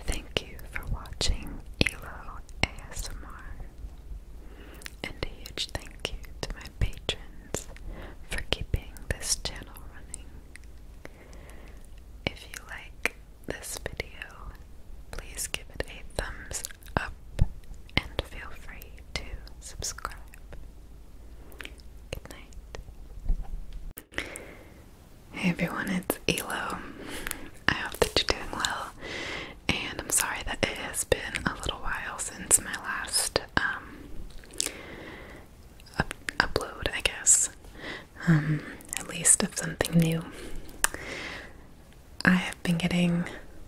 Thank you for watching ELO ASMR. And a huge thank you to my patrons for keeping this channel running. If you like this video, please give it a thumbs up and feel free to subscribe. Good night. Hey everyone, it's Elo. I hope that you're doing well, and I'm sorry that it has been a little while since my last um, upload, I guess, um, at least of something new. I have been getting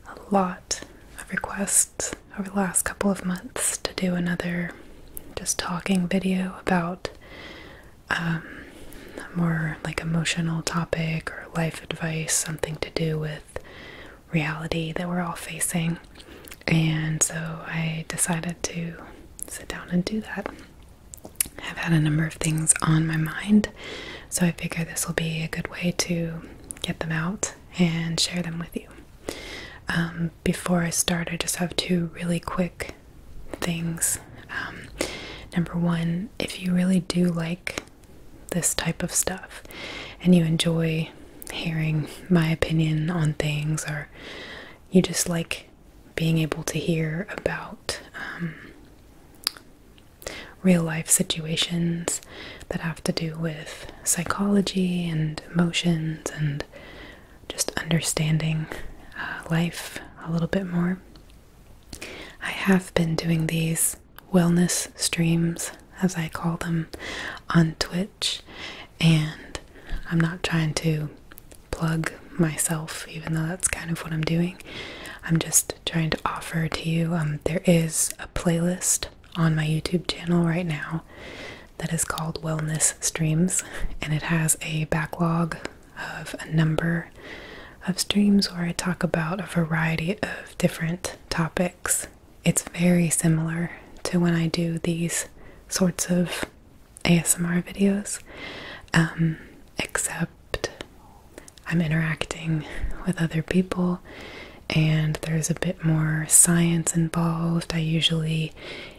a lot of requests over the last couple of months to do another just talking video about um, more like emotional topic or life advice, something to do with reality that we're all facing. And so I decided to sit down and do that. I've had a number of things on my mind, so I figure this will be a good way to get them out and share them with you. Um, before I start, I just have two really quick things. Um, number one, if you really do like this type of stuff and you enjoy hearing my opinion on things, or you just like being able to hear about um, real life situations that have to do with psychology and emotions and just understanding uh, life a little bit more. I have been doing these wellness streams, as I call them, on Twitch, and I'm not trying to plug myself, even though that's kind of what I'm doing. I'm just trying to offer to you um, there is a playlist on my YouTube channel right now that is called Wellness Streams, and it has a backlog of a number of streams where I talk about a variety of different topics. It's very similar to when I do these sorts of ASMR videos, um, except I'm interacting with other people and there's a bit more science involved. I usually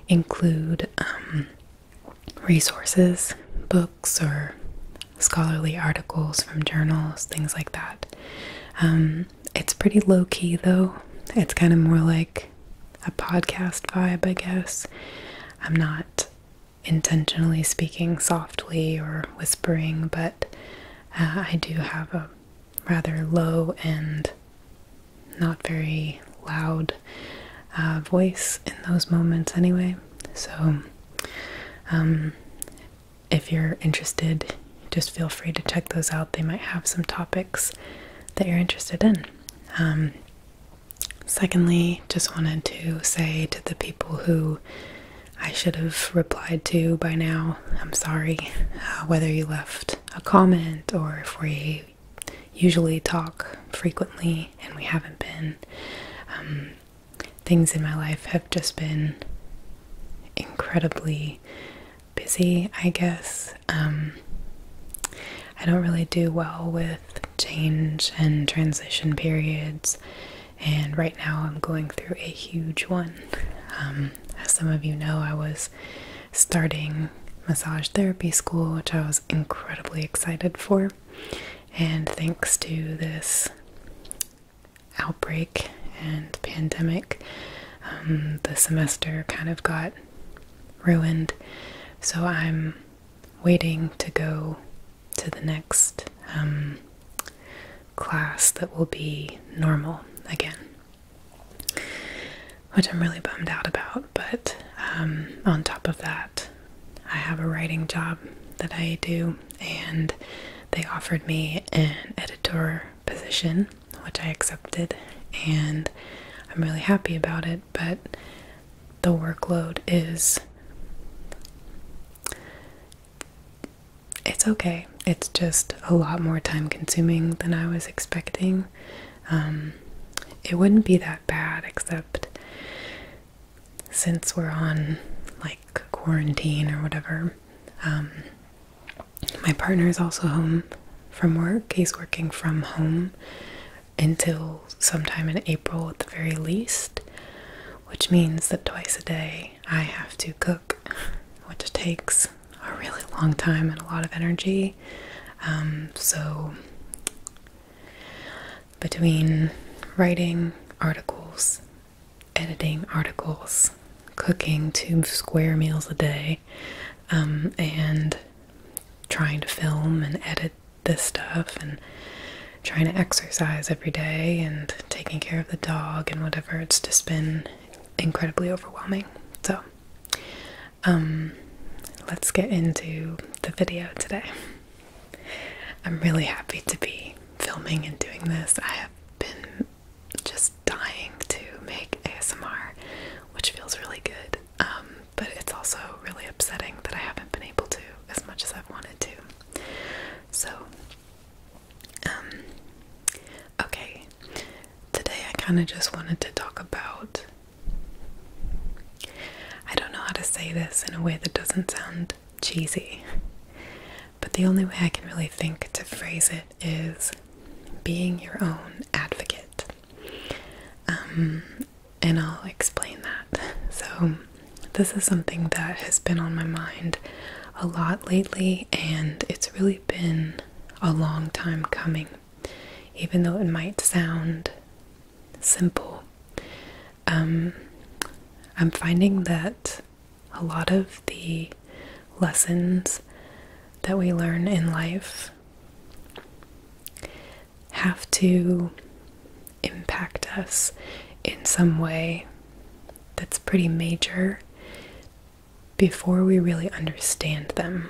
include um, resources, books, or scholarly articles from journals, things like that. Um, it's pretty low key though, it's kind of more like a podcast vibe, I guess. I'm not intentionally speaking softly or whispering, but uh, I do have a rather low and not very loud voice in those moments anyway. So, um, if you're interested, just feel free to check those out. They might have some topics that you're interested in. Um, secondly, just wanted to say to the people who I should have replied to by now, I'm sorry, uh, whether you left a comment or if we usually talk frequently, and we haven't been. Um, things in my life have just been incredibly busy, I guess. Um, I don't really do well with change and transition periods, and right now I'm going through a huge one. Um, as some of you know, I was starting massage therapy school, which I was incredibly excited for. And thanks to this outbreak and pandemic, um, the semester kind of got ruined. So I'm waiting to go to the next um, class that will be normal again. Which I'm really bummed out about, but um, on top of that, I have a writing job that I do, and they offered me an editor position, which I accepted, and I'm really happy about it. But the workload is it's okay, it's just a lot more time consuming than I was expecting. Um, it wouldn't be that bad, except since we're on like quarantine or whatever, um, my partner is also home from work. He's working from home until sometime in April at the very least, which means that twice a day I have to cook, which takes a really long time and a lot of energy. Um, so between writing articles, editing articles, cooking two square meals a day, um, and trying to film and edit this stuff, and trying to exercise every day, and taking care of the dog, and whatever. It's just been incredibly overwhelming. So, um, let's get into the video today. I'm really happy to be filming and doing this. I have been just dying to make ASMR, which feels really good, um, but it's also really upsetting that I haven't been able to as much as I've wanted to. So, um, okay, today I kind of just wanted to talk about I don't know how to say this in a way that doesn't sound cheesy, but the only way I can really think to phrase it is being your own advocate. Um, and I'll explain that. So, this is something that has been on my mind a lot lately, and it's really been a long time coming, even though it might sound simple. Um, I'm finding that a lot of the lessons that we learn in life have to impact us in some way that's pretty major before we really understand them.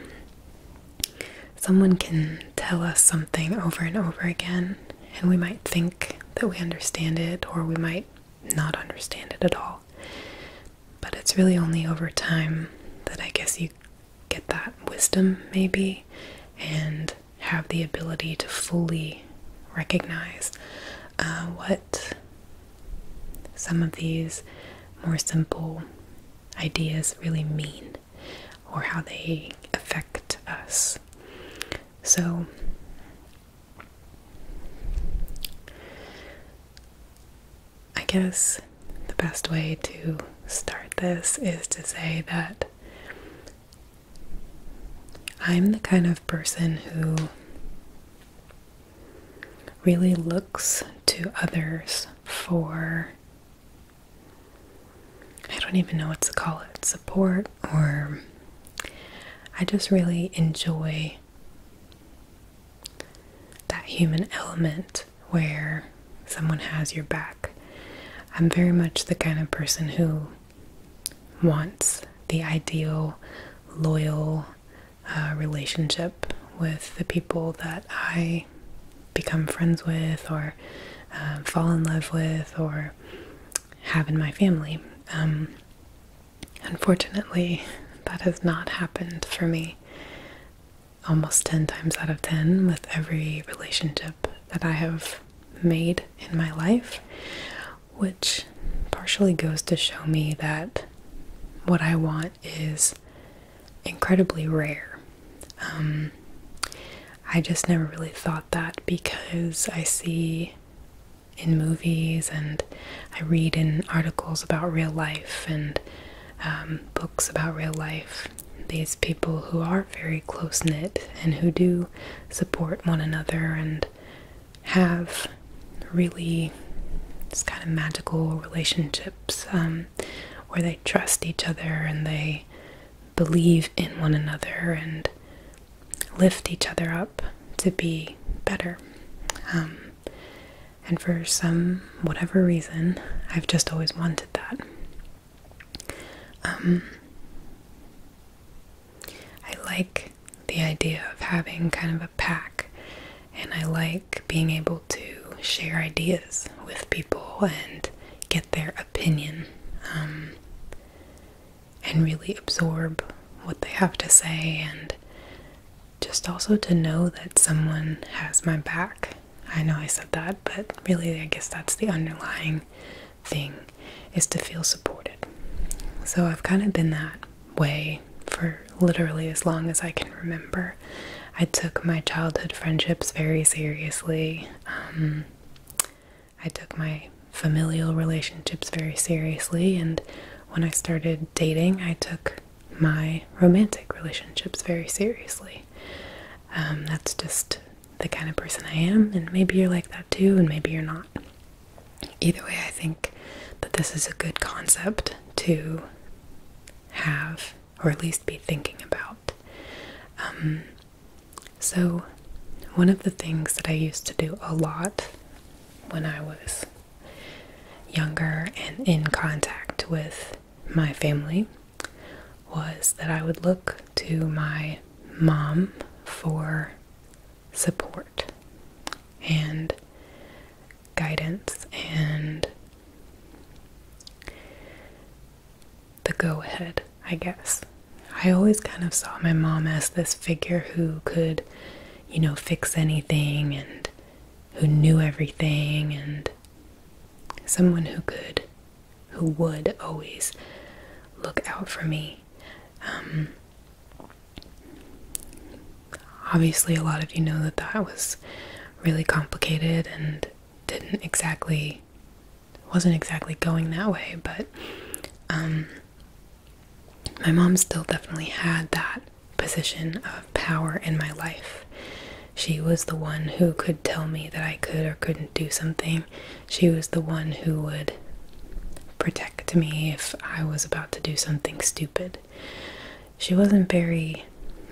Someone can tell us something over and over again, and we might think that we understand it, or we might not understand it at all. But it's really only over time that I guess you get that wisdom, maybe, and have the ability to fully recognize uh, what some of these more simple ideas really mean or how they affect us. So, I guess the best way to start this is to say that I'm the kind of person who really looks to others for I don't even know what to call it support, or I just really enjoy that human element where someone has your back. I'm very much the kind of person who wants the ideal, loyal uh, relationship with the people that I become friends with or um, fall in love with or have in my family. Um, unfortunately, that has not happened for me almost 10 times out of 10 with every relationship that I have made in my life, which partially goes to show me that what I want is incredibly rare. Um, I just never really thought that because I see in movies and I read in articles about real life and um, books about real life these people who are very close knit and who do support one another and have really just kind of magical relationships um, where they trust each other and they believe in one another and lift each other up to be better. Um, and for some whatever reason, I've just always wanted that. Um, I like the idea of having kind of a pack, and I like being able to share ideas with people and get their opinion um, and really absorb what they have to say and just also to know that someone has my back. I know I said that, but really I guess that's the underlying thing is to feel supported. So I've kind of been that way for literally as long as I can remember. I took my childhood friendships very seriously. Um, I took my familial relationships very seriously, and when I started dating, I took my romantic relationships very seriously. Um, that's just the kind of person I am, and maybe you're like that too, and maybe you're not. Either way, I think that this is a good concept to have, or at least be thinking about. Um, so, one of the things that I used to do a lot when I was younger and in contact with my family was that I would look to my mom for support and guidance and the go ahead, I guess. I always kind of saw my mom as this figure who could, you know, fix anything and who knew everything and someone who could, who would always look out for me. Um, obviously, a lot of you know that that was really complicated and didn't exactly I wasn't exactly going that way, but um, my mom still definitely had that position of power in my life. She was the one who could tell me that I could or couldn't do something. She was the one who would protect me if I was about to do something stupid. She wasn't very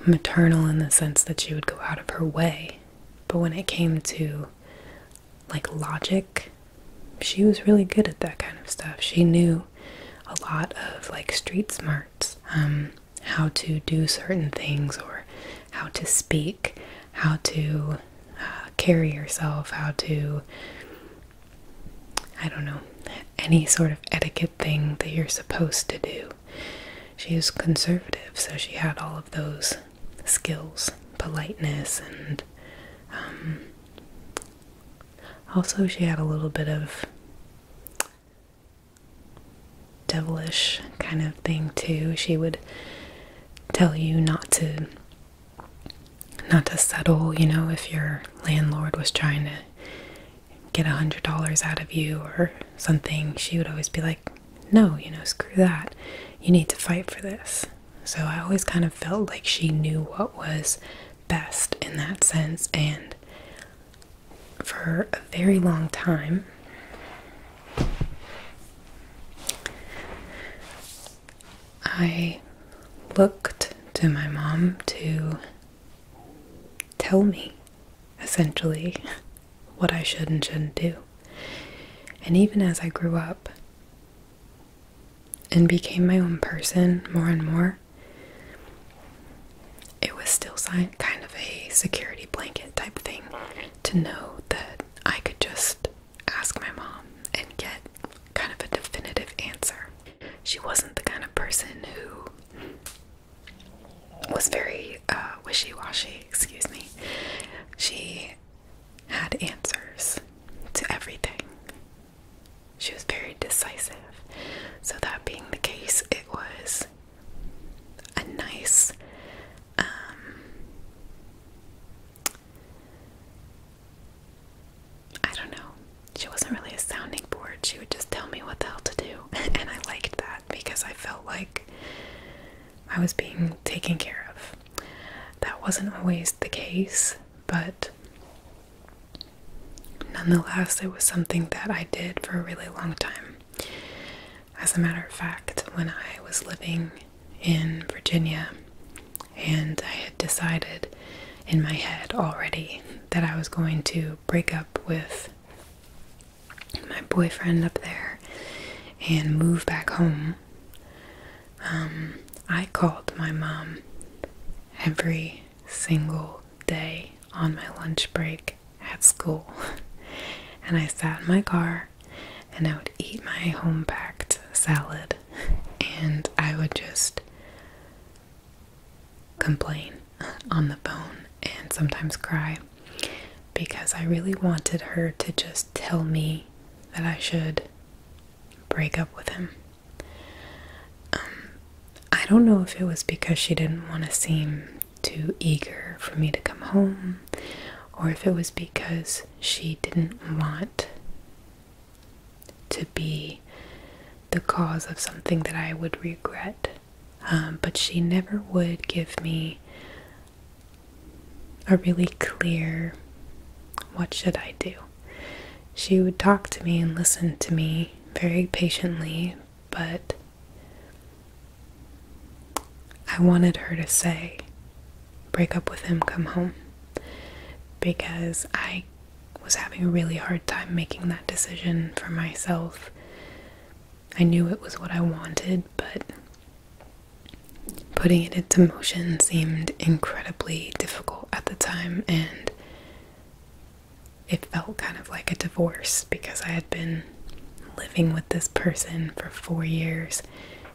maternal in the sense that she would go out of her way but when it came to like logic, she was really good at that kind of stuff. She knew a lot of like street smarts, um, how to do certain things or how to speak, how to uh, carry yourself, how to, I don't know, any sort of etiquette thing that you're supposed to do. She was conservative, so she had all of those skills, politeness, and um, also she had a little bit of devilish kind of thing too. She would tell you not to not to settle, you know, if your landlord was trying to get a hundred dollars out of you or something, she would always be like, no, you know, screw that. You need to fight for this. So I always kind of felt like she knew what was best in that sense. And for a very long time, I looked to my mom to tell me essentially what I should and shouldn't do. And even as I grew up and became my own person more and more, it was still kind of a security blanket type thing to know that I could just ask my mom and get kind of a definitive answer. She wasn't the kind of person who was very uh, wishy washy excuse me, she had answers to everything. She was very decisive. So, that being the case, it was a nice, um, I don't know. She wasn't really a sounding board. She would just tell me what the hell to do. and I liked that because I felt like I was being taken care of. That wasn't always the case, but nonetheless, it was something that I did for a really long time. As a matter of fact, when I was living in Virginia and I had decided in my head already that I was going to break up with my boyfriend up there and move back home, um, I called my mom every single day on my lunch break at school. And I sat in my car and I would eat my home packed salad and I would just complain on the phone and sometimes cry because I really wanted her to just tell me that I should break up with him. Um, I don't know if it was because she didn't want to seem too eager for me to come home, or if it was because she didn't want to be the cause of something that I would regret. Um, but she never would give me a really clear what should I do. She would talk to me and listen to me very patiently, but I wanted her to say, break up with him, come home, because I was having a really hard time making that decision for myself. I knew it was what I wanted, but putting it into motion seemed incredibly difficult at the time, and it felt kind of like a divorce because I had been living with this person for four years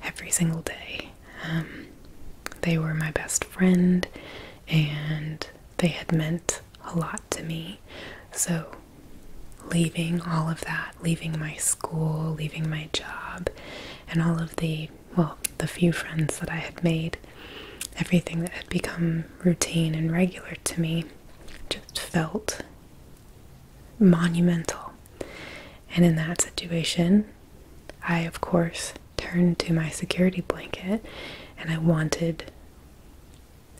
every single day. Um, they were my best friend, and they had meant a lot to me. So leaving all of that, leaving my school, leaving my job, and all of the, well, the few friends that I had made, everything that had become routine and regular to me just felt monumental. And in that situation, I, of course, turned to my security blanket and I wanted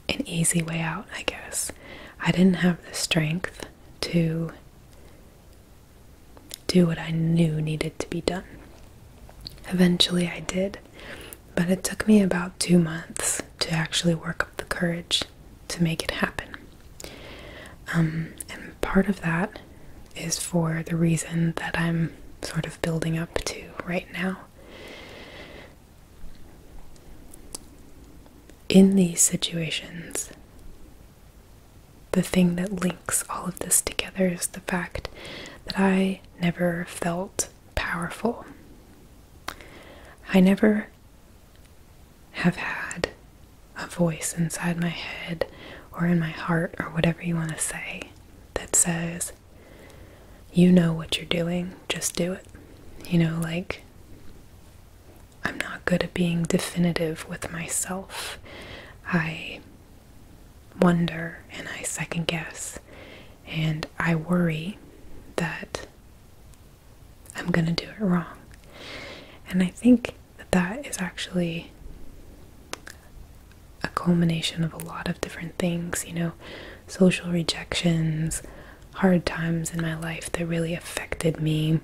an easy way out, I guess. I didn't have the strength to do what I knew needed to be done. Eventually I did, but it took me about two months to actually work up the courage to make it happen. Um, and part of that is for the reason that I'm sort of building up to right now. In these situations, the thing that links all of this together is the fact that I never felt powerful. I never have had a voice inside my head or in my heart or whatever you want to say that says, you know what you're doing, just do it. You know, like, I'm not good at being definitive with myself. I wonder and I second guess and I worry that I'm going to do it wrong. And I think that that is actually a culmination of a lot of different things, you know, social rejections, hard times in my life that really affected me.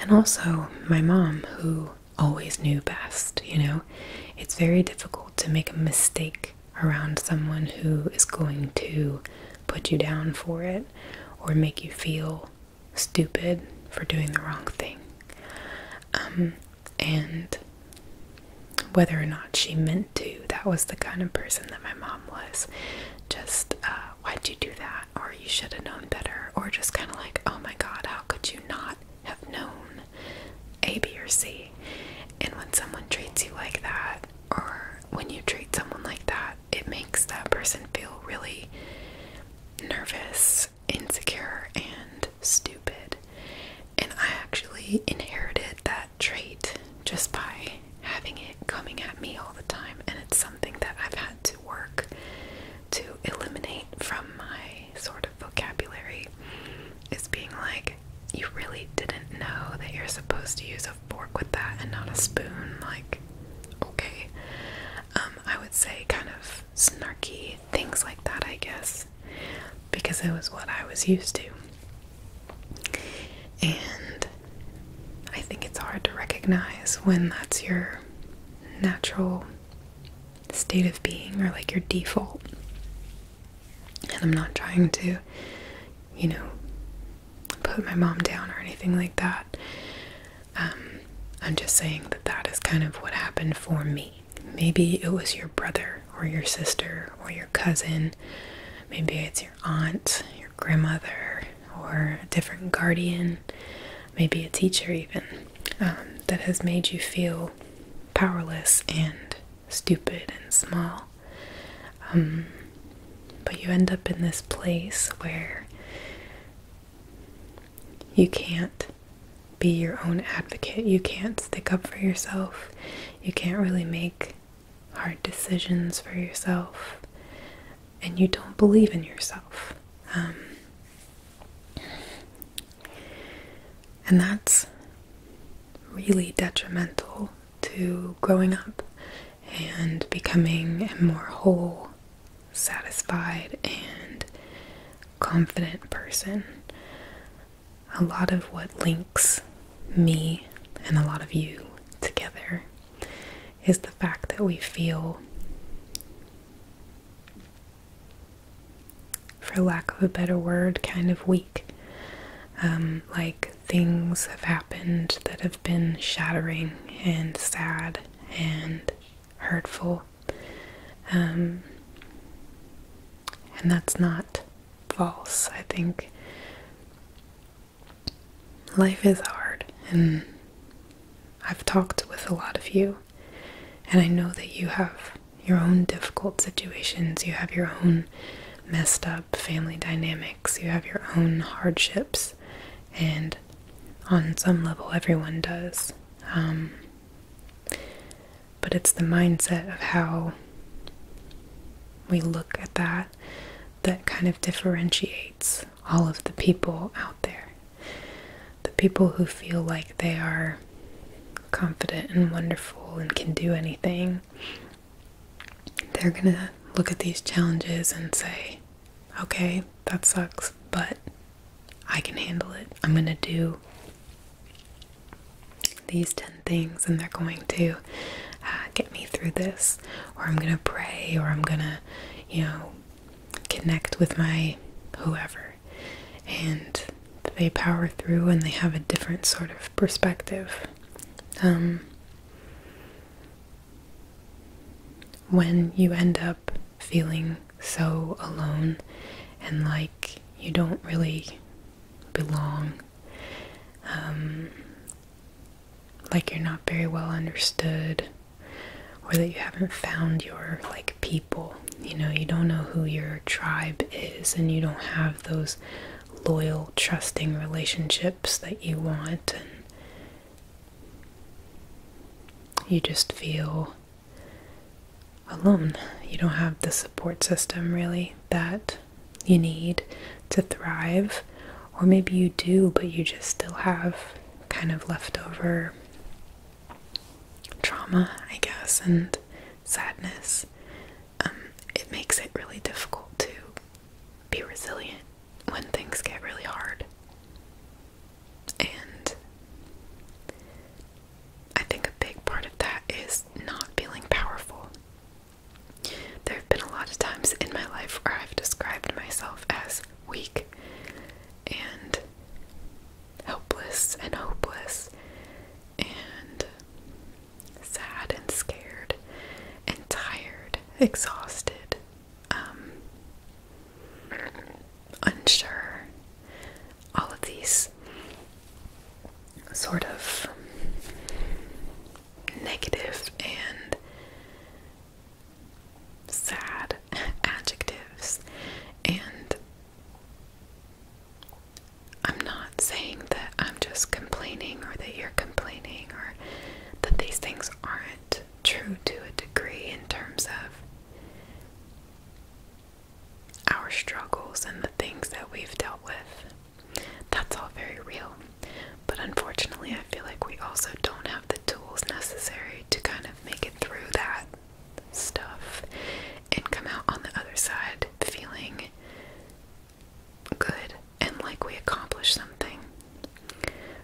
And also my mom, who always knew best, you know. It's very difficult to make a mistake around someone who is going to put you down for it or make you feel stupid for doing the wrong thing. Um, and whether or not she meant to, that was the kind of person that my mom was. Just, uh, why'd you do that? Or you should have known better. Or just kind of like, oh my God, how could you not have known A, B, or C? And when someone treats you like that, or when you treat someone like that, it makes that person feel really nervous, insecure, and stupid. And I actually inherited that trait just by having it coming at me all the time, and it's something that I've had to work to eliminate from my sort of vocabulary. Is being like, you really didn't know that you're supposed to use a fork with that and not a spoon. Like, okay. Um, I would say kind of snarky things like that, I guess, because it was what I was used to. And I think it's hard to recognize when that's your natural state of being or like your default. And I'm not trying to, you know, put my mom down or anything like that. Um, I'm just saying that that is kind of what happened for me. Maybe it was your brother or your sister or your cousin. Maybe it's your aunt, your grandmother, or a different guardian, maybe a teacher, even, um, that has made you feel powerless and stupid and small. Um, but you end up in this place where you can't be your own advocate, you can't stick up for yourself, you can't really make hard decisions for yourself and you don't believe in yourself. Um, and that's really detrimental to growing up and becoming a more whole, satisfied, and confident person. A lot of what links me and a lot of you together is the fact that we feel, for lack of a better word, kind of weak. Um, like things have happened that have been shattering and sad and hurtful. Um, and that's not false. I think life is hard, and I've talked with a lot of you, and I know that you have your own difficult situations, you have your own messed up family dynamics, you have your own hardships, and on some level, everyone does. Um, but it's the mindset of how we look at that that kind of differentiates all of the people out there. The people who feel like they are confident and wonderful and can do anything, they're going to look at these challenges and say, okay, that sucks, but I can handle it. I'm going to do these 10 things and they're going to uh, get me through this or I'm going to pray or I'm going to, you know, connect with my whoever. And they power through and they have a different sort of perspective. Um, when you end up feeling so alone and like you don't really belong, um, like you're not very well understood or that you haven't found your like people you know you don't know who your tribe is and you don't have those loyal trusting relationships that you want and you just feel alone you don't have the support system really that you need to thrive or maybe you do but you just still have kind of leftover trauma i guess and sadness um, it makes it really difficult to be resilient when things get really hard and i think a big part of that is not feeling powerful there have been a lot of times in my life where I've described myself as weak and helpless and hopeless and sad and scared and tired, exhausted, um, unsure, all of these sort of negative and sad adjectives and I'm not saying that I'm just complaining or that you're complaining or that these things aren't true to a degree in terms of our struggles and the things that we've dealt with. That's all very real. But unfortunately, I feel like we also don't have the tools necessary to kind of make it through that stuff and come out on the other side feeling good and like we accomplished something.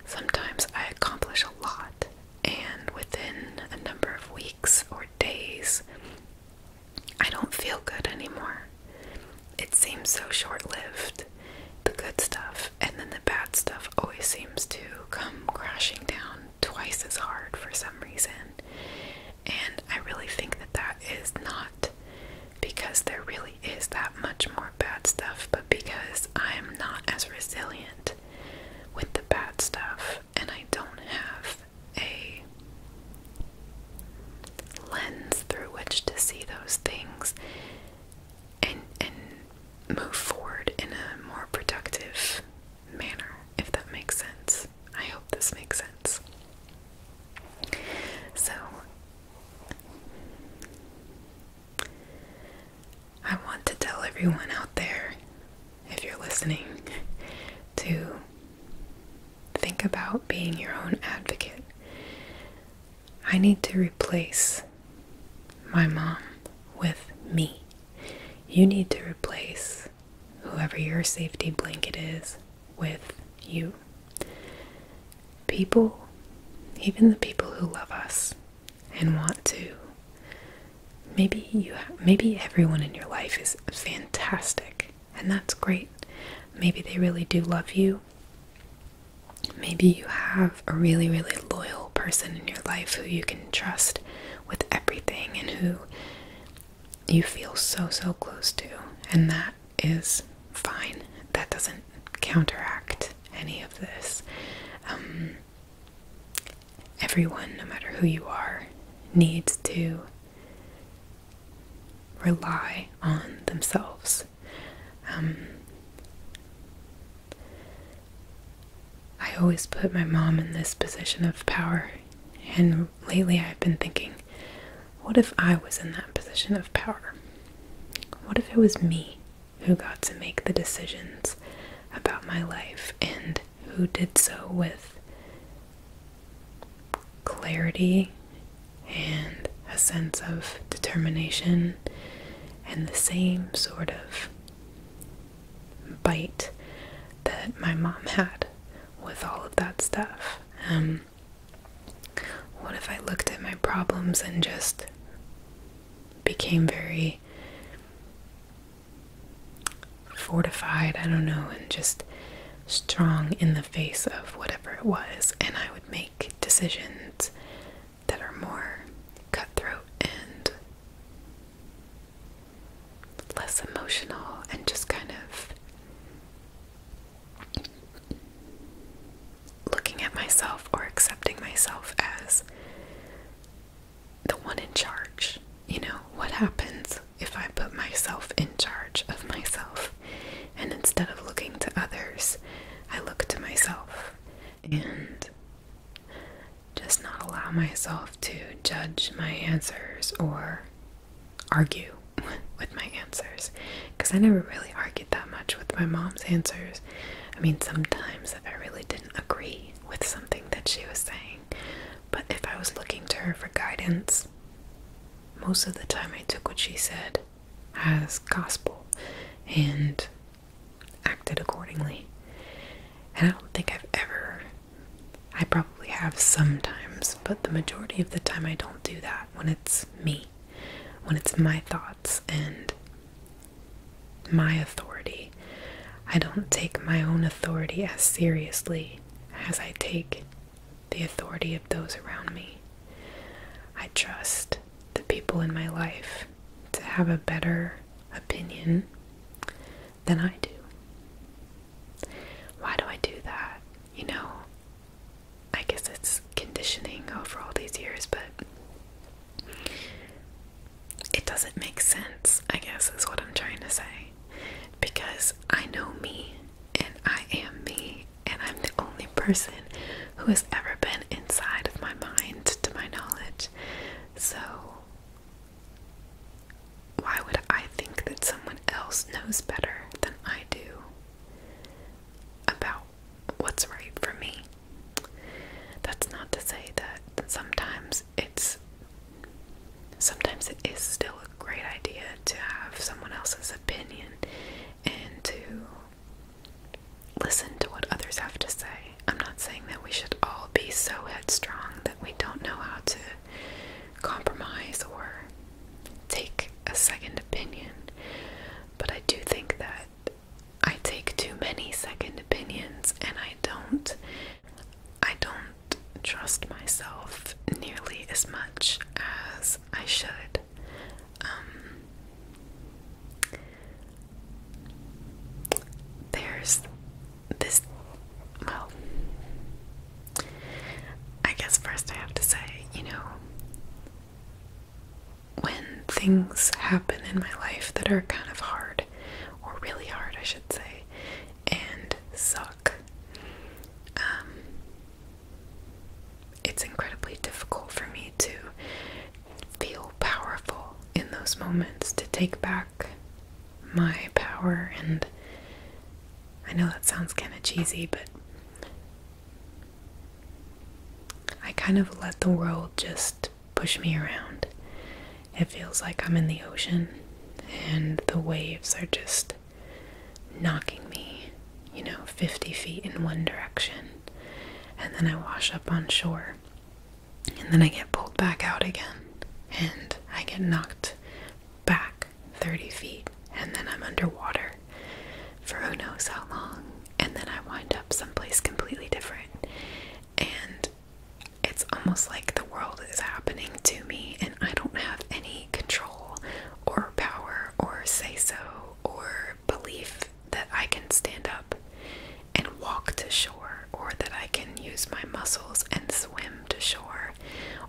Sometimes I accomplish a lot, and within a number of weeks or days, I don't feel good anymore it seems so short lived, the good stuff, and then the bad stuff always seems to come crashing down twice as hard for some reason. And I really think that that is not because there really is that much more bad stuff, but because I am not as resilient with the bad stuff and I don't have a lens through which to see those things and and move forward in a more productive manner, if that makes sense. I hope this makes sense. So I want to tell everyone out there, if you're listening, to think about being your own advocate. I need to replace my mom with me. You need to replace whoever your safety blanket is with you. People, even the people who love us and want to, maybe you maybe everyone in your life is fantastic and that's great. Maybe they really do love you Maybe you have a really, really loyal person in your life who you can trust with everything and who you feel so, so close to, and that is fine. That doesn't counteract any of this. Um, everyone, no matter who you are, needs to rely on themselves um, I always put my mom in this position of power. And lately I've been thinking, what if I was in that position of power? What if it was me who got to make the decisions about my life and who did so with clarity and a sense of determination and the same sort of bite that my mom had with all of that stuff. Um, what if I looked at my problems and just became very fortified, I don't know, and just strong in the face of whatever it was, and I would make decisions that are more cutthroat and less emotional and just kind of looking at myself or accepting myself as the one in charge. You know, what happens if I put myself in charge of myself? and instead of looking to others, I look to myself and just not allow myself to judge my answers or argue with my answers because I never really argued that much with my mom's answers. I mean, sometimes if I really didn't agree with something that she was saying, but if I was looking to her for guidance, most of the time I took what she said as gospel and acted accordingly. And I don't think I've ever, I probably have sometimes, but the majority of the time I don't do that when it's me, when it's my thoughts and my authority. I don't take my own authority as seriously as I take the authority of those around me. I trust the people in my life to have a better opinion than I do. Why do I do that? You know, I guess it's conditioning over all these years, but it doesn't make sense, I guess, is what I'm trying to say. Because I know me and I am me, and I'm the only person who has ever been inside of my mind, to my knowledge. So, why would I think that someone else knows better than I do about what's right for me? That's not to say that sometimes it's sometimes it is still a great idea to have someone else's opinion and to listen to what others have to say. I'm not saying that we should all be so headstrong that we don't know how to compromise or take a second opinion, but I do think that I take too many second opinions and I don't I don't trust myself nearly as much as I should. Um, there's this. Well, I guess first I have to say, you know, when things happen in my life that are kind of hard, or really hard, I should say, and suck, um, it's incredibly difficult for me to feel powerful in those moments, to take back my power. And I know that sounds kind of cheesy, but I kind of let the world just push me around. It feels like I'm in the ocean and the waves are just knocking me, you know, 50 feet in one direction and then I wash up on shore, and then I get pulled back out again, and I get knocked back 30 feet, and then I'm underwater for who knows how long, and then I wind up someplace completely different. And it's almost like the world is happening to me, and I don't have any control or power or say so or belief that I can stand up and walk to shore, or that I can use my muscles and swim to shore,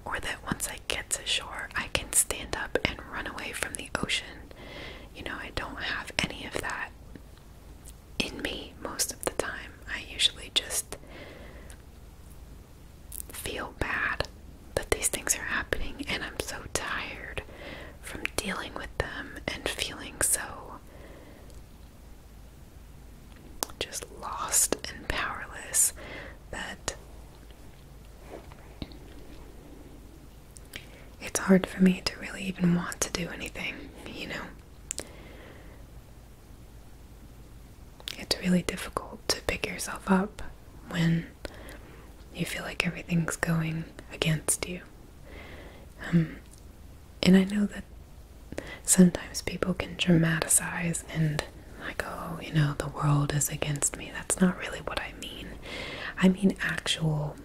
or that once I get to shore, I can stand up and run away from the ocean. You know, I don't have any of that in me most of the time. I usually just feel bad that these things are happening, and I'm so tired from dealing with them and feeling so just lost and powerless that it's hard for me to really even want to do anything, you know. It's really difficult to pick yourself up when you feel like everything's going against you. Um, and I know that sometimes people can dramatize and, like, oh, you know, the world is against me. That's not really what I mean. I mean actual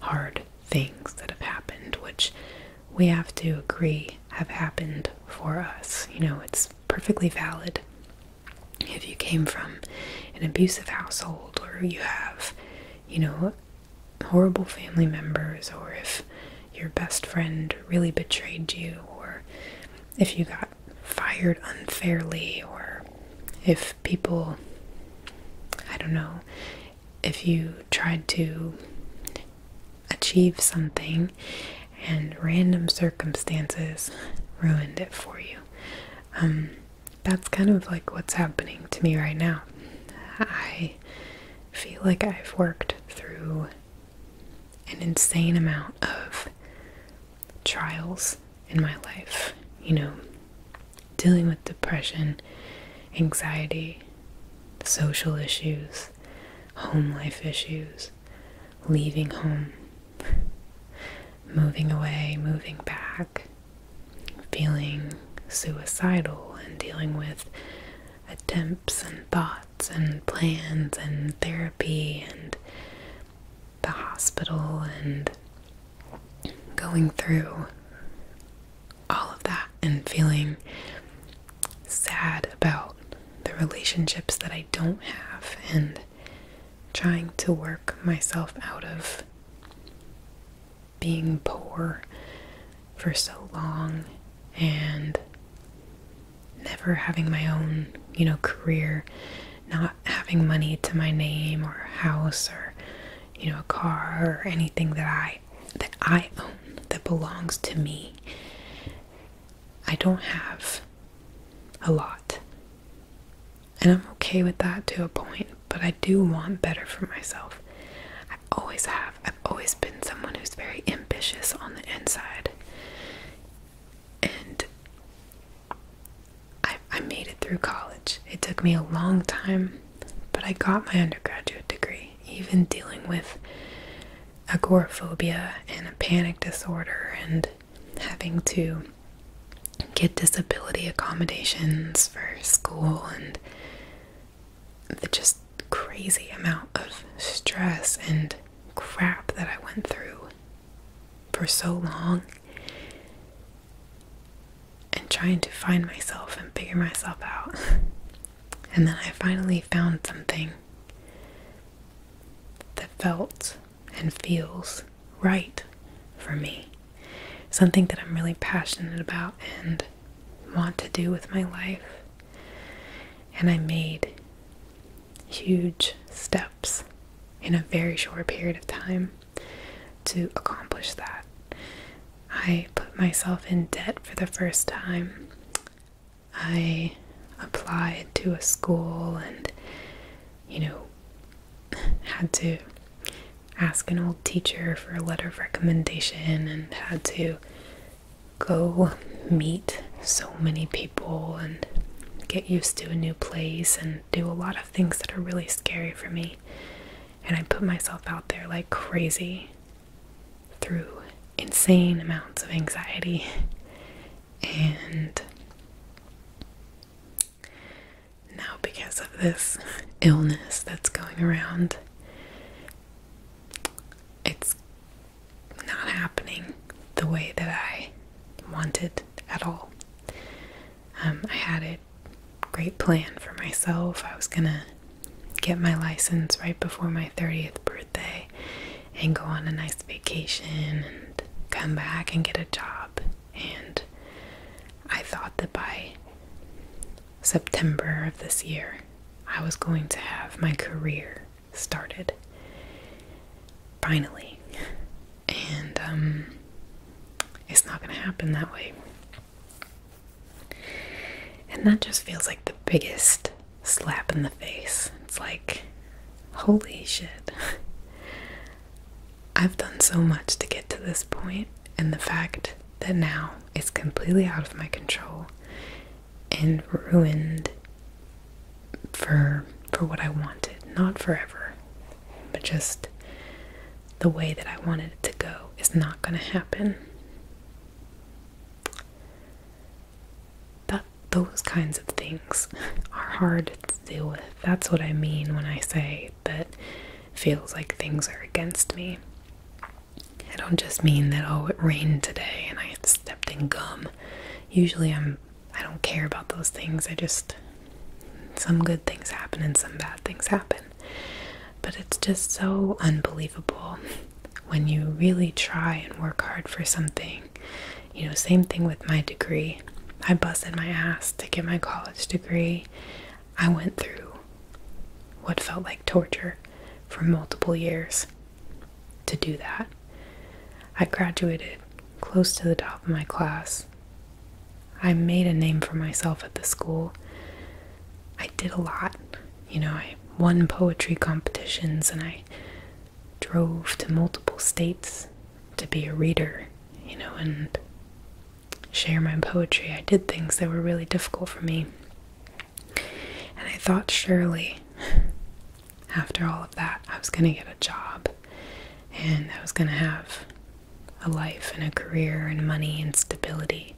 hard things that have happened, which we have to agree have happened for us. You know, it's perfectly valid if you came from an abusive household or you have, you know, horrible family members, or if your best friend really betrayed you, or if you got fired unfairly, or if people, I don't know, if you tried to achieve something and random circumstances ruined it for you. Um, that's kind of like what's happening to me right now. I feel like I've worked through an insane amount of trials in my life, you know, dealing with depression, anxiety, social issues, home life issues, leaving home, moving away, moving back, feeling suicidal and dealing with attempts and thoughts and plans and therapy and the hospital and going through all of that and feeling sad about the relationships that I don't have and trying to work myself out of being poor for so long and never having my own, you know, career, not having money to my name or a house or you know, a car or anything that I that I own that belongs to me. I don't have a lot. And I'm okay with that to a point, but I do want better for myself. I have always have. I've always been someone who's very ambitious on the inside. And I made it through college. It took me a long time, but I got my undergraduate degree, even dealing with agoraphobia and a panic disorder and having to get disability accommodations for school and the just crazy amount of stress and crap that I went through for so long and trying to find myself and figure myself out. And then I finally found something that felt and feels right for me. Something that I'm really passionate about and want to do with my life. And I made huge steps in a very short period of time to accomplish that. I put myself in debt for the first time. I applied to a school and, you know, had to ask an old teacher for a letter of recommendation and had to go meet so many people and get used to a new place and do a lot of things that are really scary for me. And I put myself out there like crazy through insane amounts of anxiety. And now, because of this illness that's going around, it's not happening the way that I wanted at all. Um, I had a great plan for myself. I was gonna get my license right before my 30th birthday and go on a nice vacation and come back and get a job and I thought that by September of this year, I was going to have my career started finally, and um, it's not going to happen that way. And that just feels like the biggest slap in the face. It's like, holy shit. I've done so much to get to this point, and the fact that now it's completely out of my control and ruined for for what I wanted, not forever, but just the way that I wanted it to go is not going to happen. That those kinds of things are hard to deal with. That's what I mean when I say right that feels like things are against me. I don't just mean that oh it rained today and I stepped in gum. Usually I'm I don't care about those things. I just some good things happen and some bad things happen. But it's just so unbelievable when you really try and work hard for something. You know, same thing with my degree. I busted my ass to get my college degree. I went through what felt like torture for multiple years to do that. I graduated close to the top of my class. I made a name for myself at the school. I did a lot. You know, I won poetry competitions and I drove to multiple states to be a reader, you know, and share my poetry. I did things that were really difficult for me. And I thought surely after all of that, I was going to get a job and I was going to have a life and a career and money and stability.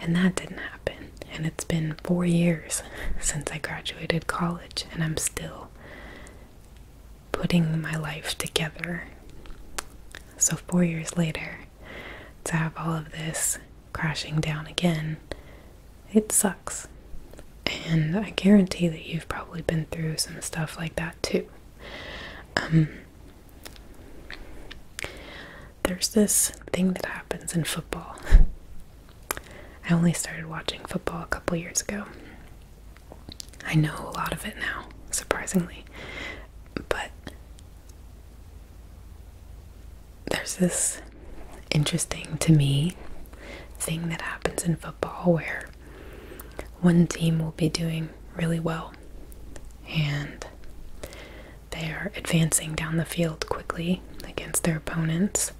And that didn't happen. And it's been four years since I graduated college, and I'm still putting my life together. So, four years later, to have all of this crashing down again, it sucks. And I guarantee that you've probably been through some stuff like that too. Um, there's this thing that happens in football. I only started watching football a couple years ago. I know a lot of it now, surprisingly. But there's this interesting to me thing that happens in football where one team will be doing really well and they are advancing down the field quickly against their opponents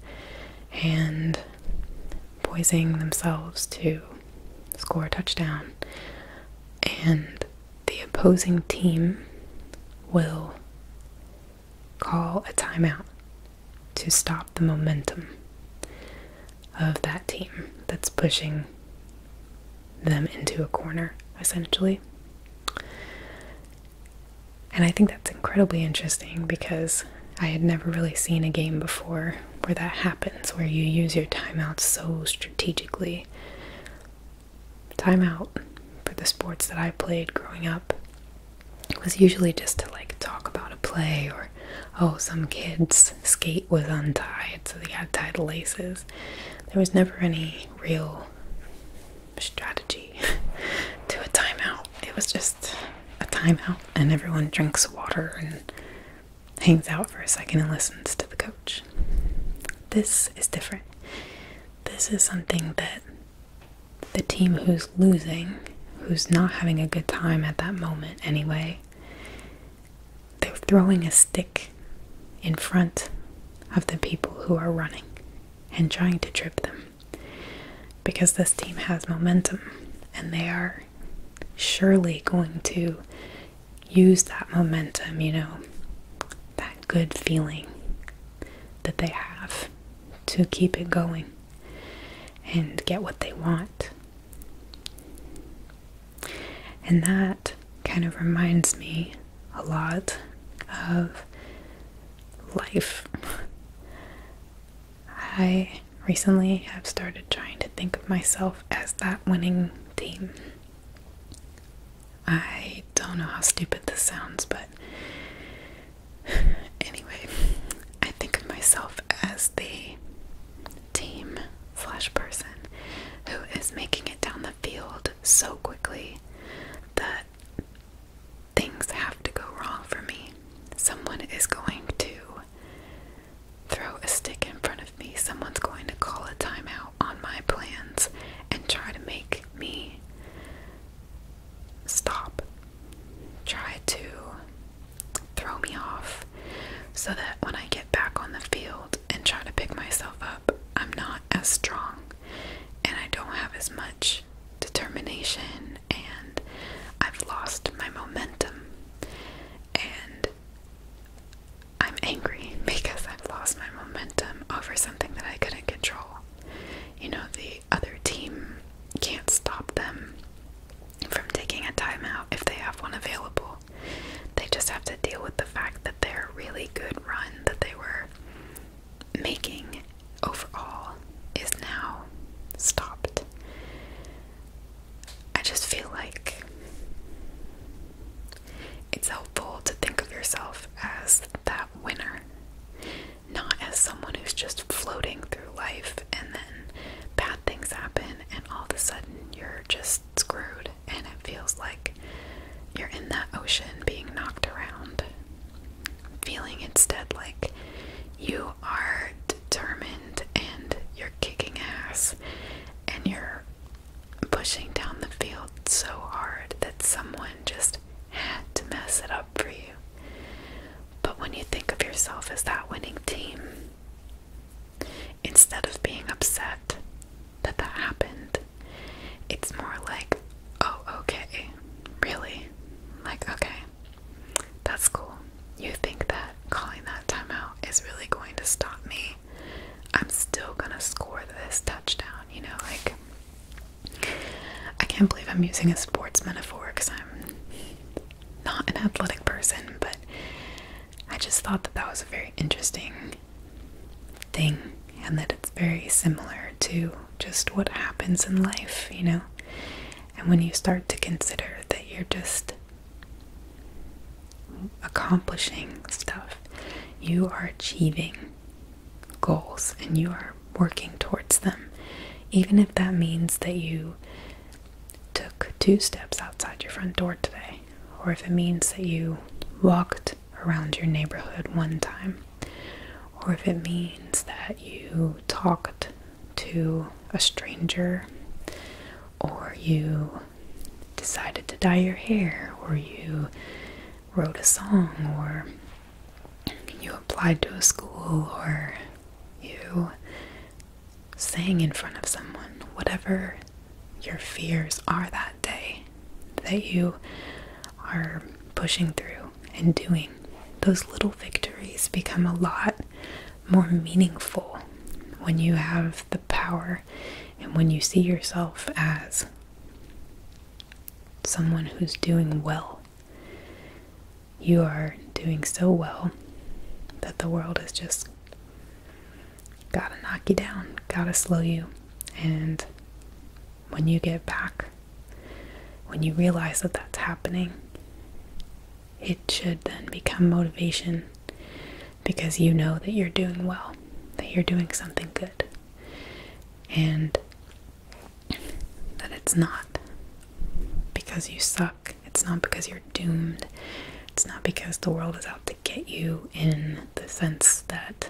and Poisoning themselves to score a touchdown, and the opposing team will call a timeout to stop the momentum of that team that's pushing them into a corner, essentially. And I think that's incredibly interesting because I had never really seen a game before where that happens, where you use your timeouts so strategically. Timeout for the sports that I played growing up was usually just to like talk about a play or oh, some kid's skate was untied, so they had tied laces. There was never any real strategy to a timeout. It was just a timeout, and everyone drinks water and hangs out for a second and listens to the coach. This is different. This is something that the team who's losing, who's not having a good time at that moment anyway, they're throwing a stick in front of the people who are running and trying to trip them because this team has momentum and they are surely going to use that momentum, you know, that good feeling that they have to keep it going and get what they want. And that kind of reminds me a lot of life. I recently i have started trying to think of myself as that winning team. I don't know how stupid this sounds, but anyway, I think of myself as the team slash person who is making it down the field so quickly that things have to go wrong for me. Someone is going to throw a stick in front of me, someone's going to call a timeout on my plans and try to make me stop. Try to throw me off so that when I get back on the field and try to pick myself up, I'm not as strong and I don't have as much determination and I've lost my momentum. And I'm angry because I've lost my momentum over something that I couldn't control. You know, the other team can't stop them from taking a timeout if they have one available. They just have to deal with the fact that their really good run that they were making overall is now stopped. I just feel like it's helpful to think of yourself as that winner, not as someone who's just floating through life and then bad things happen and all of a sudden you're just screwed and it feels like you're in that ocean being knocked around. Feeling instead like you are determined and you're kicking ass and you're pushing down the field so hard that someone just had to mess it up for you. But when you think of yourself as that winning team, instead of being upset that that happened, it's more like, oh, okay, really? Like, okay, that's cool. You think that that calling that timeout is really going to stop me. I'm still gonna score this touchdown, you know, like I can't believe I'm using a sports metaphor because I'm not an athletic person, but I just thought that that was a very interesting thing and that it's very similar to just what happens in life, you know. And when you start to consider that you're just accomplishing stuff. You are achieving goals and you are working towards them. Even if that means that you took two steps outside your front door today, or if it means that you walked around your neighborhood one time, or if it means that you talked to a stranger, or you decided to dye your hair, or you wrote a song, or you applied to a school, or you sang in front of someone, whatever your fears are that day that you are pushing through and doing, those little victories become a lot more meaningful when you have the power and when you see yourself as someone who's doing well you are doing so well that the world is just gotta knock you down gotta slow you and when you get back when you realize that that's happening it should then become motivation because you know that you're doing well, that you're doing something good, and that it's not because you suck, it's not because you're doomed, it's not because the world is out to get you in the sense that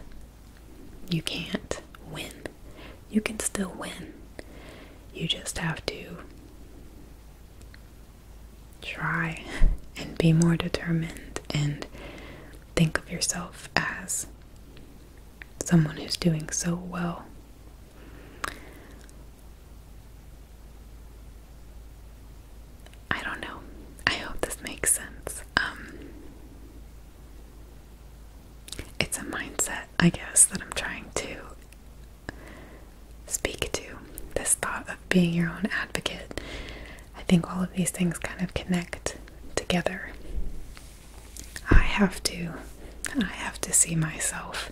you can't win. You can still win. You just have to try and be more determined and think of yourself as someone who's doing so well. I don't know. I hope this makes sense. Um, it's a mindset, I guess, that I'm trying to speak to, this thought of being your own advocate. I think all of these things kind of connect together. I have to I have to see myself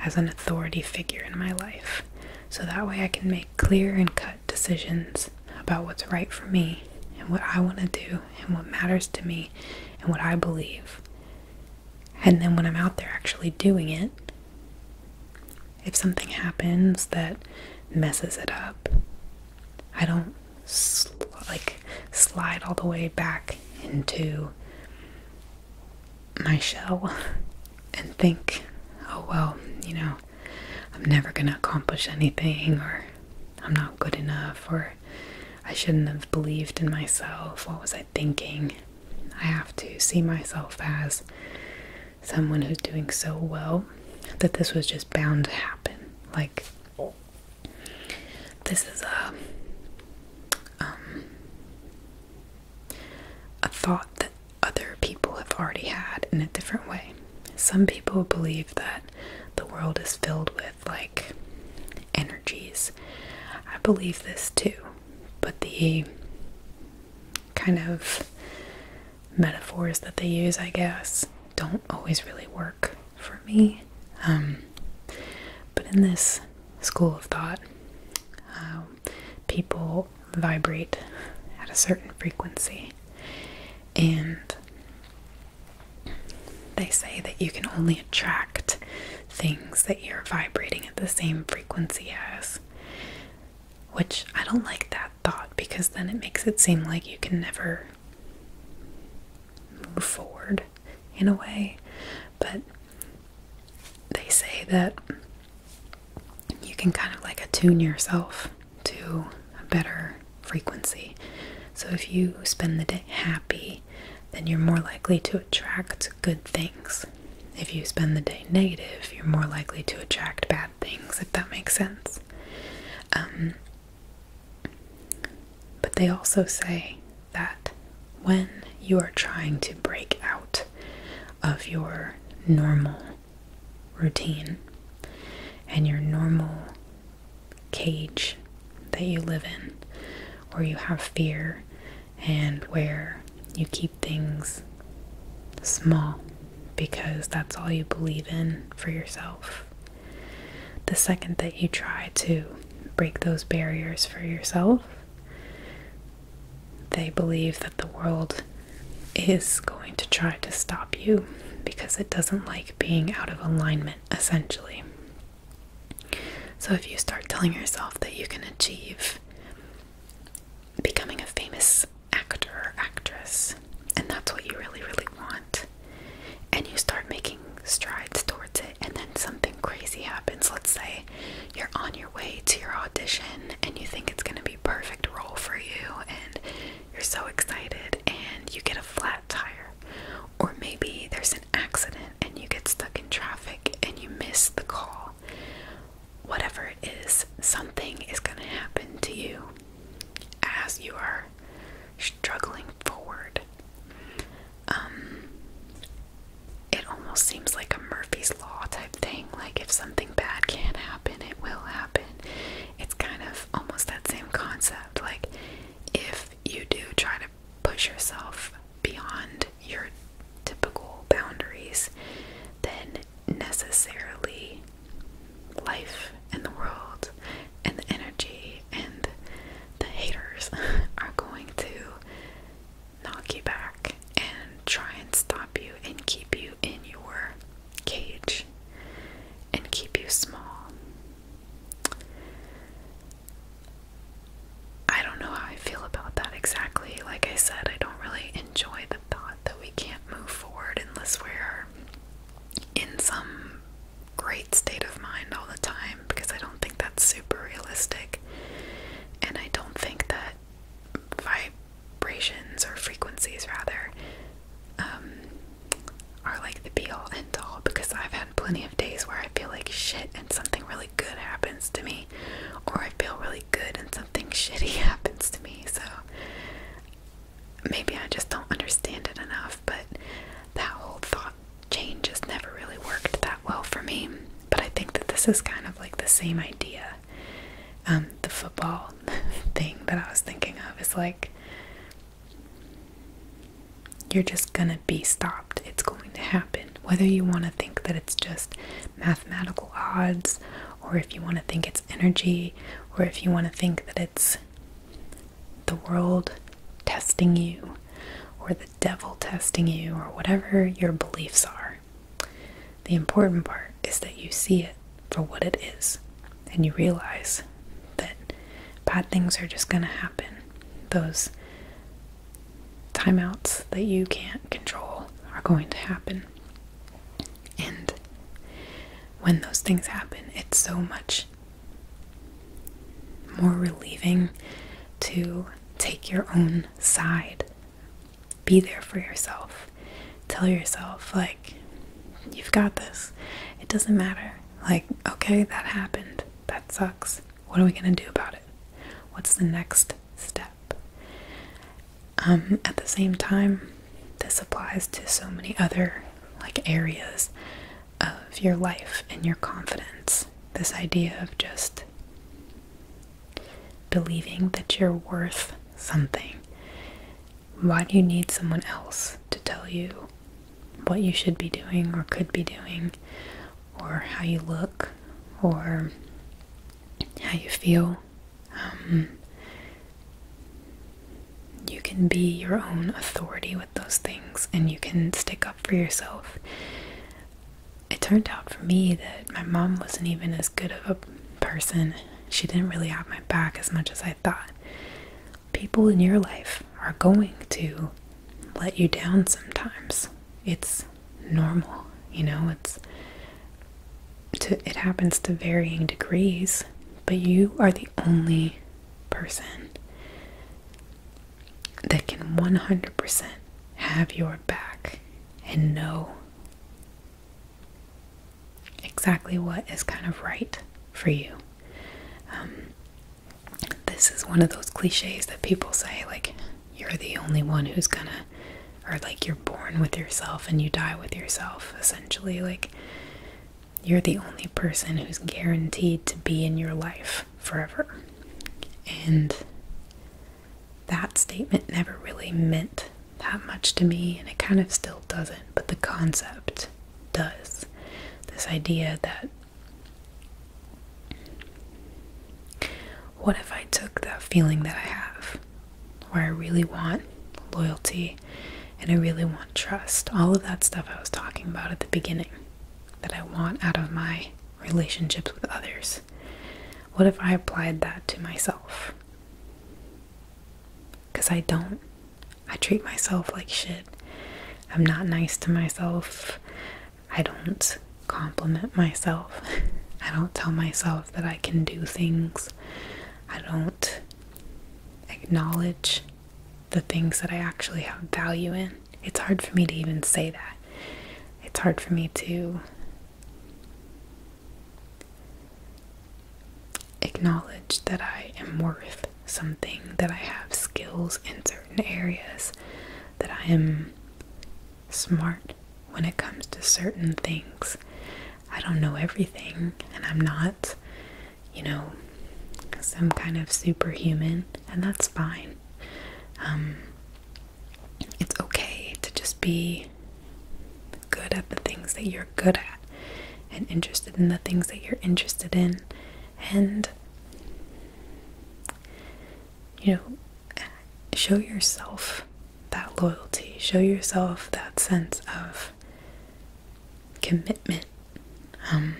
as an authority figure in my life. So that way I can make clear and cut decisions about what's right for me and what I want to do and what matters to me and what I believe. And then when I'm out there actually doing it, if something happens that messes it up, I don't like slide all the way back into my shell and think, oh well, you know, I'm never going to accomplish anything or I'm not good enough or I shouldn't have believed in myself. What was I thinking? I have to see myself as someone who's doing so well that this was just bound to happen. Like, this is a, um, a thought that other people have already had in a different way. Some people believe that the world is filled with like energies. I believe this too, but the kind of metaphors that they use, I guess, don't always really work for me. Um, but in this school of thought, um, people vibrate at a certain frequency, and they say that you can only attract things that you're vibrating at the same frequency as. Which I don't like that thought because then it makes it seem like you can never move forward in a way. But they say that you can kind of like attune yourself to a better frequency. So if you spend the day happy, then you're more likely to attract good things. If you spend the day negative, you're more likely to attract bad things, if that makes sense. Um, but they also say that when you are trying to break out of your normal routine and your normal cage that you live in, or you have fear and where you keep things small because that's all you believe in for yourself. The second that you try to break those barriers for yourself, they believe that the world is going to try to stop you because it doesn't like being out of alignment, essentially. So, if you start telling yourself that you can achieve becoming a famous actor or actress, and that's what you really, really want. And you start making strides towards it, and then something crazy happens. Let's say you're on your way to your audition and you think it's going to be perfect role for you, and you're so excited, and you get a flat tire. Or maybe there's an accident and you get stuck in traffic and you miss the call whatever it is, something is going to happen to you as you are struggling forward. Um, it almost seems like a Murphy's Law type thing. Like, if something bad can not happen, it will happen. It's kind of almost that same concept. Like, if you do try to push yourself beyond your typical boundaries, then necessarily life and the world and the energy and the haters are going to knock you back and try and stop you and keep you in your cage and keep you small. I don't know how I feel about that exactly. Like I said, I really enjoy the thought that we can't move forward unless we're in some great state of mind all the time because I don't think that's super realistic. And I don't think that vibrations or frequencies, rather, um, are like the be all end all because I've had plenty of days where I feel like shit and something really good happens to me, or I feel really good and something shitty happens to me. So maybe I just don't understand it enough, but that whole thought change has never really worked that well for me. But I think that this is kind of like the same idea. Um, the football thing that I was thinking of is like you're just gonna be stopped. It's going to happen whether you want to think that it's just mathematical odds, or if you want to think it's energy, or if you want to think that it's the world testing you, or the devil testing you, or whatever your beliefs are. The important part is that you see it for what it is, and you realize that bad things are just going to happen. Those timeouts that you can't control are going to happen. And when those things happen, it's so much more relieving to take your own side. Be there for yourself. Tell yourself, like, you've got this. It doesn't matter. Like, okay, that happened. That sucks. What are we going to do about it? What's the next step? Um, at the same time, this applies to so many other like areas of your life and your confidence. This idea of just believing that you're worth something. Why do you need someone else to tell you what you should be doing or could be doing or how you look or how you feel? Um, you can be your own authority with those things and you can stick up for yourself. It turned out for me that my mom wasn't even as good of a person. She didn't really have my back as much as I thought. People in your life are going to let you down sometimes it's normal, you know, it's to it happens to varying degrees, but you are the only person that can 100% have your back and know exactly what is kind of right for you. Um, this is one of those cliches that people say, like, you're the only one who's gonna or like you're born with yourself and you die with yourself essentially like you're the only person who's guaranteed to be in your life forever and that statement never really meant that much to me and it kind of still doesn't but the concept does this idea that what if I took that feeling that I have where I really want loyalty and I really want trust? All of that stuff I was talking about at the beginning that I want out of my relationships with others. What if I applied that to myself? Because I don't. I treat myself like shit. I'm not nice to myself. I don't compliment myself. I don't tell myself that I can do things. I don't acknowledge the things that I actually have value in. It's hard for me to even say that. It's hard for me to acknowledge that I am worth something, that I have skills in certain areas, that I am smart when it comes to certain things. I don't know everything, and I'm not, you know, some kind of superhuman, and that's fine. Um, it's okay to just be good at the things that you're good at and interested in the things that you're interested in, and you know, show yourself that loyalty, show yourself that sense of commitment. Um,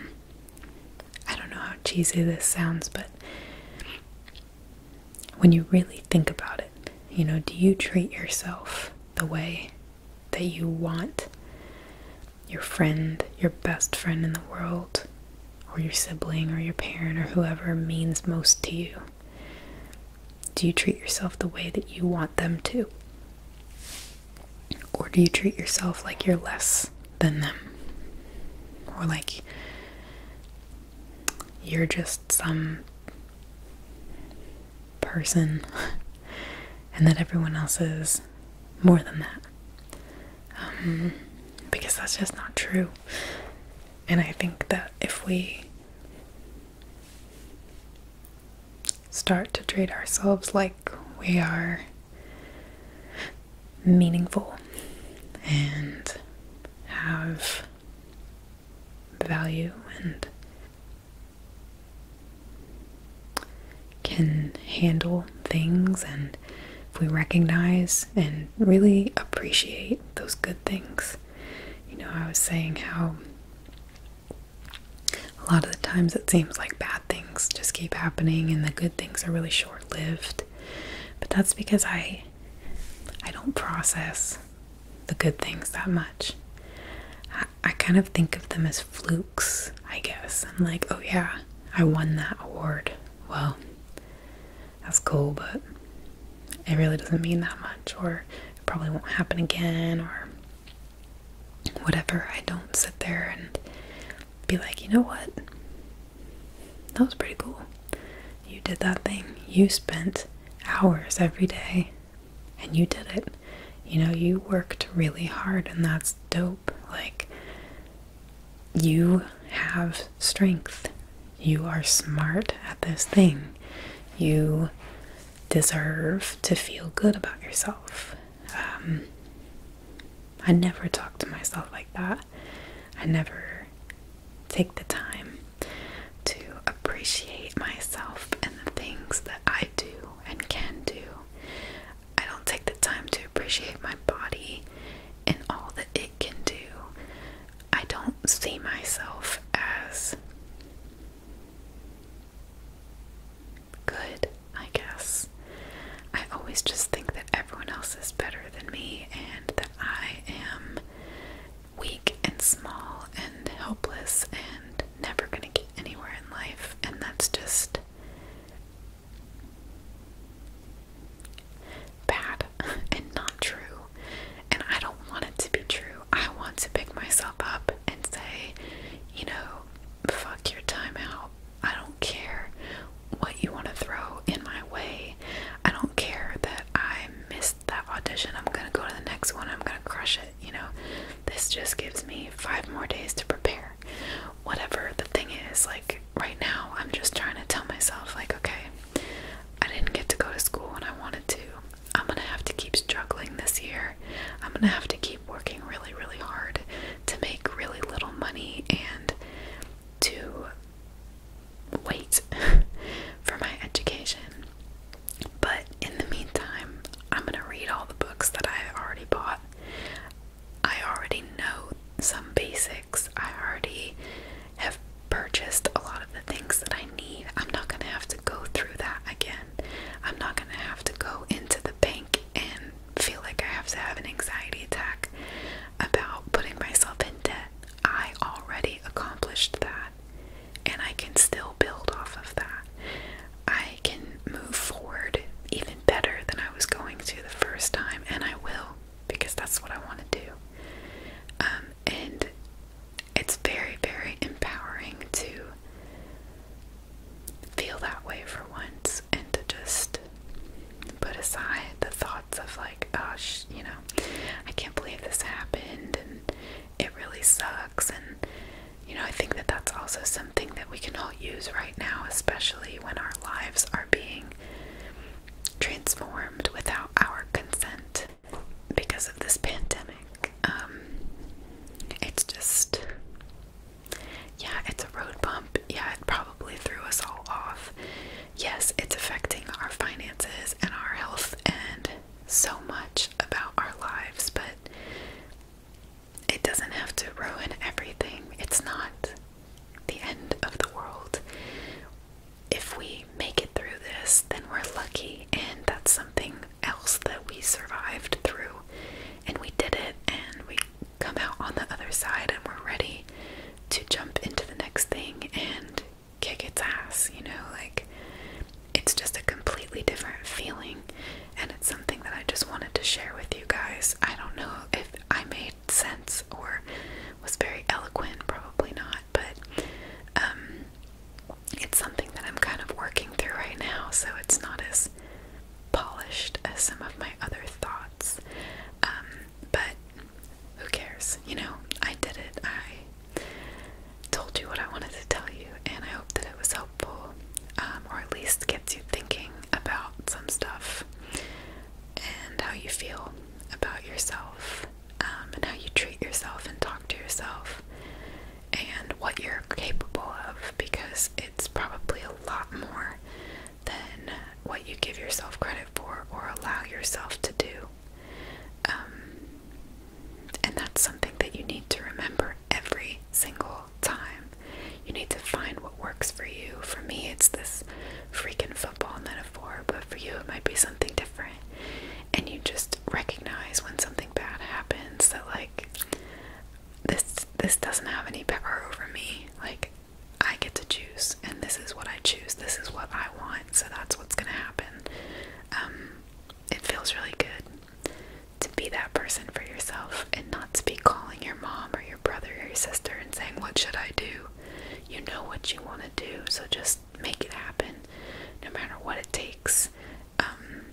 I don't know how cheesy this sounds, but when you really think about it, you know, do you treat yourself the way that you want your friend, your best friend in the world, or your sibling, or your parent, or whoever means most to you? Do you treat yourself the way that you want them to? Or do you treat yourself like you're less than them? Or like you're just some person and that everyone else is more than that? Um, because that's just not true. And I think that if we start to treat ourselves like we are meaningful and have value and can handle things and if we recognize and really appreciate those good things you know, I was saying how a lot of the times it seems like bad things just keep happening and the good things are really short-lived. But that's because I I don't process the good things that much. I, kind of think of them as flukes, I guess. I'm like, oh yeah, I won that award. Well, that's cool, but it really doesn't mean that much, or it probably won't happen again, or whatever. I don't sit there and be like, you know what? That was pretty cool. You did that thing. You spent hours every day and you did it. You know, you worked really hard, and that's dope. Like, you have strength. You are smart at this thing. You deserve to feel good about yourself. Um, I never talk to myself like that. I never take the time to appreciate myself and the things that I do and can do. I don't take the time to appreciate my body and all that it can do. I don't see myself as good, I guess. I always just think that everyone else is better than me and that I am weak and small and helpless and never going to get anywhere in life. And that's just bad and not true. And I don't want it to be true. I want to pick myself up and say, you know, fuck your time out. I don't care what you want to throw in my way. I don't care that I missed that audition. I'm going to go to the next one. I'm going to crush it. You know, this just gives me five more days to prepare. Whatever the thing is, like right now, I'm just trying to tell myself, like, okay, I didn't get to go to school when I wanted to. I'm gonna have to keep struggling this year. I'm gonna have to keep working really, really hard to make really little money and to wait for my education. But in the meantime, I'm gonna read all the books that I already bought. I already know some basics. I already have purchased a lot of the things that I need. I'm not going to have to go through that again. I'm not going to have to go into the bank and feel like I have to have an anxiety attack about putting myself in debt. I already accomplished that, and I can still build off of that. I can move forward even better than I was going to the first time, and I will because that's what I want to do. Um, and it's very, very empowering to feel that way for once and to just put aside the thoughts of, like, gosh, oh, you know, I can't believe this happened and it really sucks. And, you know, I think that that's also something that we can all use right now, especially when our lives are being transformed without our consent because of this pandemic. Um, it's just, yeah, it's a road bump. Yeah, it probably threw us all off. Yes, it's affecting our finances and our health and so much about our lives, but it doesn't have to ruin everything. It's not the end of the world if we make it through this, then we're lucky, and that's something else that we survived through. And we did it, and we come out on the other side, and we're ready to jump into the next thing and kick its ass, you know? Like, it's just a completely different feeling, and it's something that I just wanted to share with you guys. I don't know if I made sense or was very eloquent, probably not but um, it's something that I'm kind of working through right now, so it's not as polished as some of my other thoughts. Um, but who cares? You know, I did it. I told you what I wanted to tell you, and I hope that it was helpful, um, or at least gets you thinking about some stuff and how you feel about yourself. Um, and how you treat yourself and talk to yourself and what you're capable of because it's probably a lot more than what you give yourself credit for or allow yourself to do. Um, and that's something that you need to remember every single time. You need to find what works for you. For me, it's this freaking football metaphor, but for you, it might be something different and you just recognize when something bad happens that like this this doesn't have any power over me. Like I get to choose and this is what I choose. This is what I want. So that's what's going to happen. Um it feels really good to be that person for yourself and not to be calling your mom or your brother or your sister and saying what should I do? You know what you want to do, so just make it happen no matter what it takes. Um,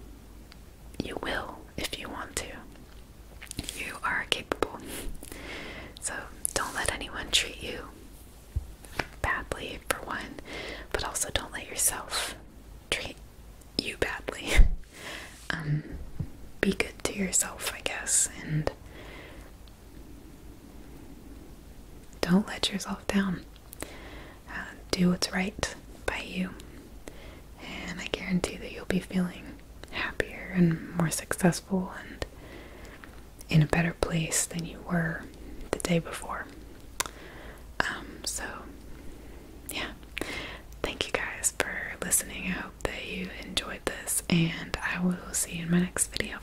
you will if you want to. You are capable. So don't let anyone treat you badly, for one, but also don't let yourself treat you badly. Um, be good to yourself, I guess, and don't let yourself down. Uh, do what's right by you. And I guarantee that you'll be feeling happier and more successful and in a better place than you were the day before. Um, so, yeah. Thank you guys for listening. I hope that you enjoyed this, and I will see you in my next video.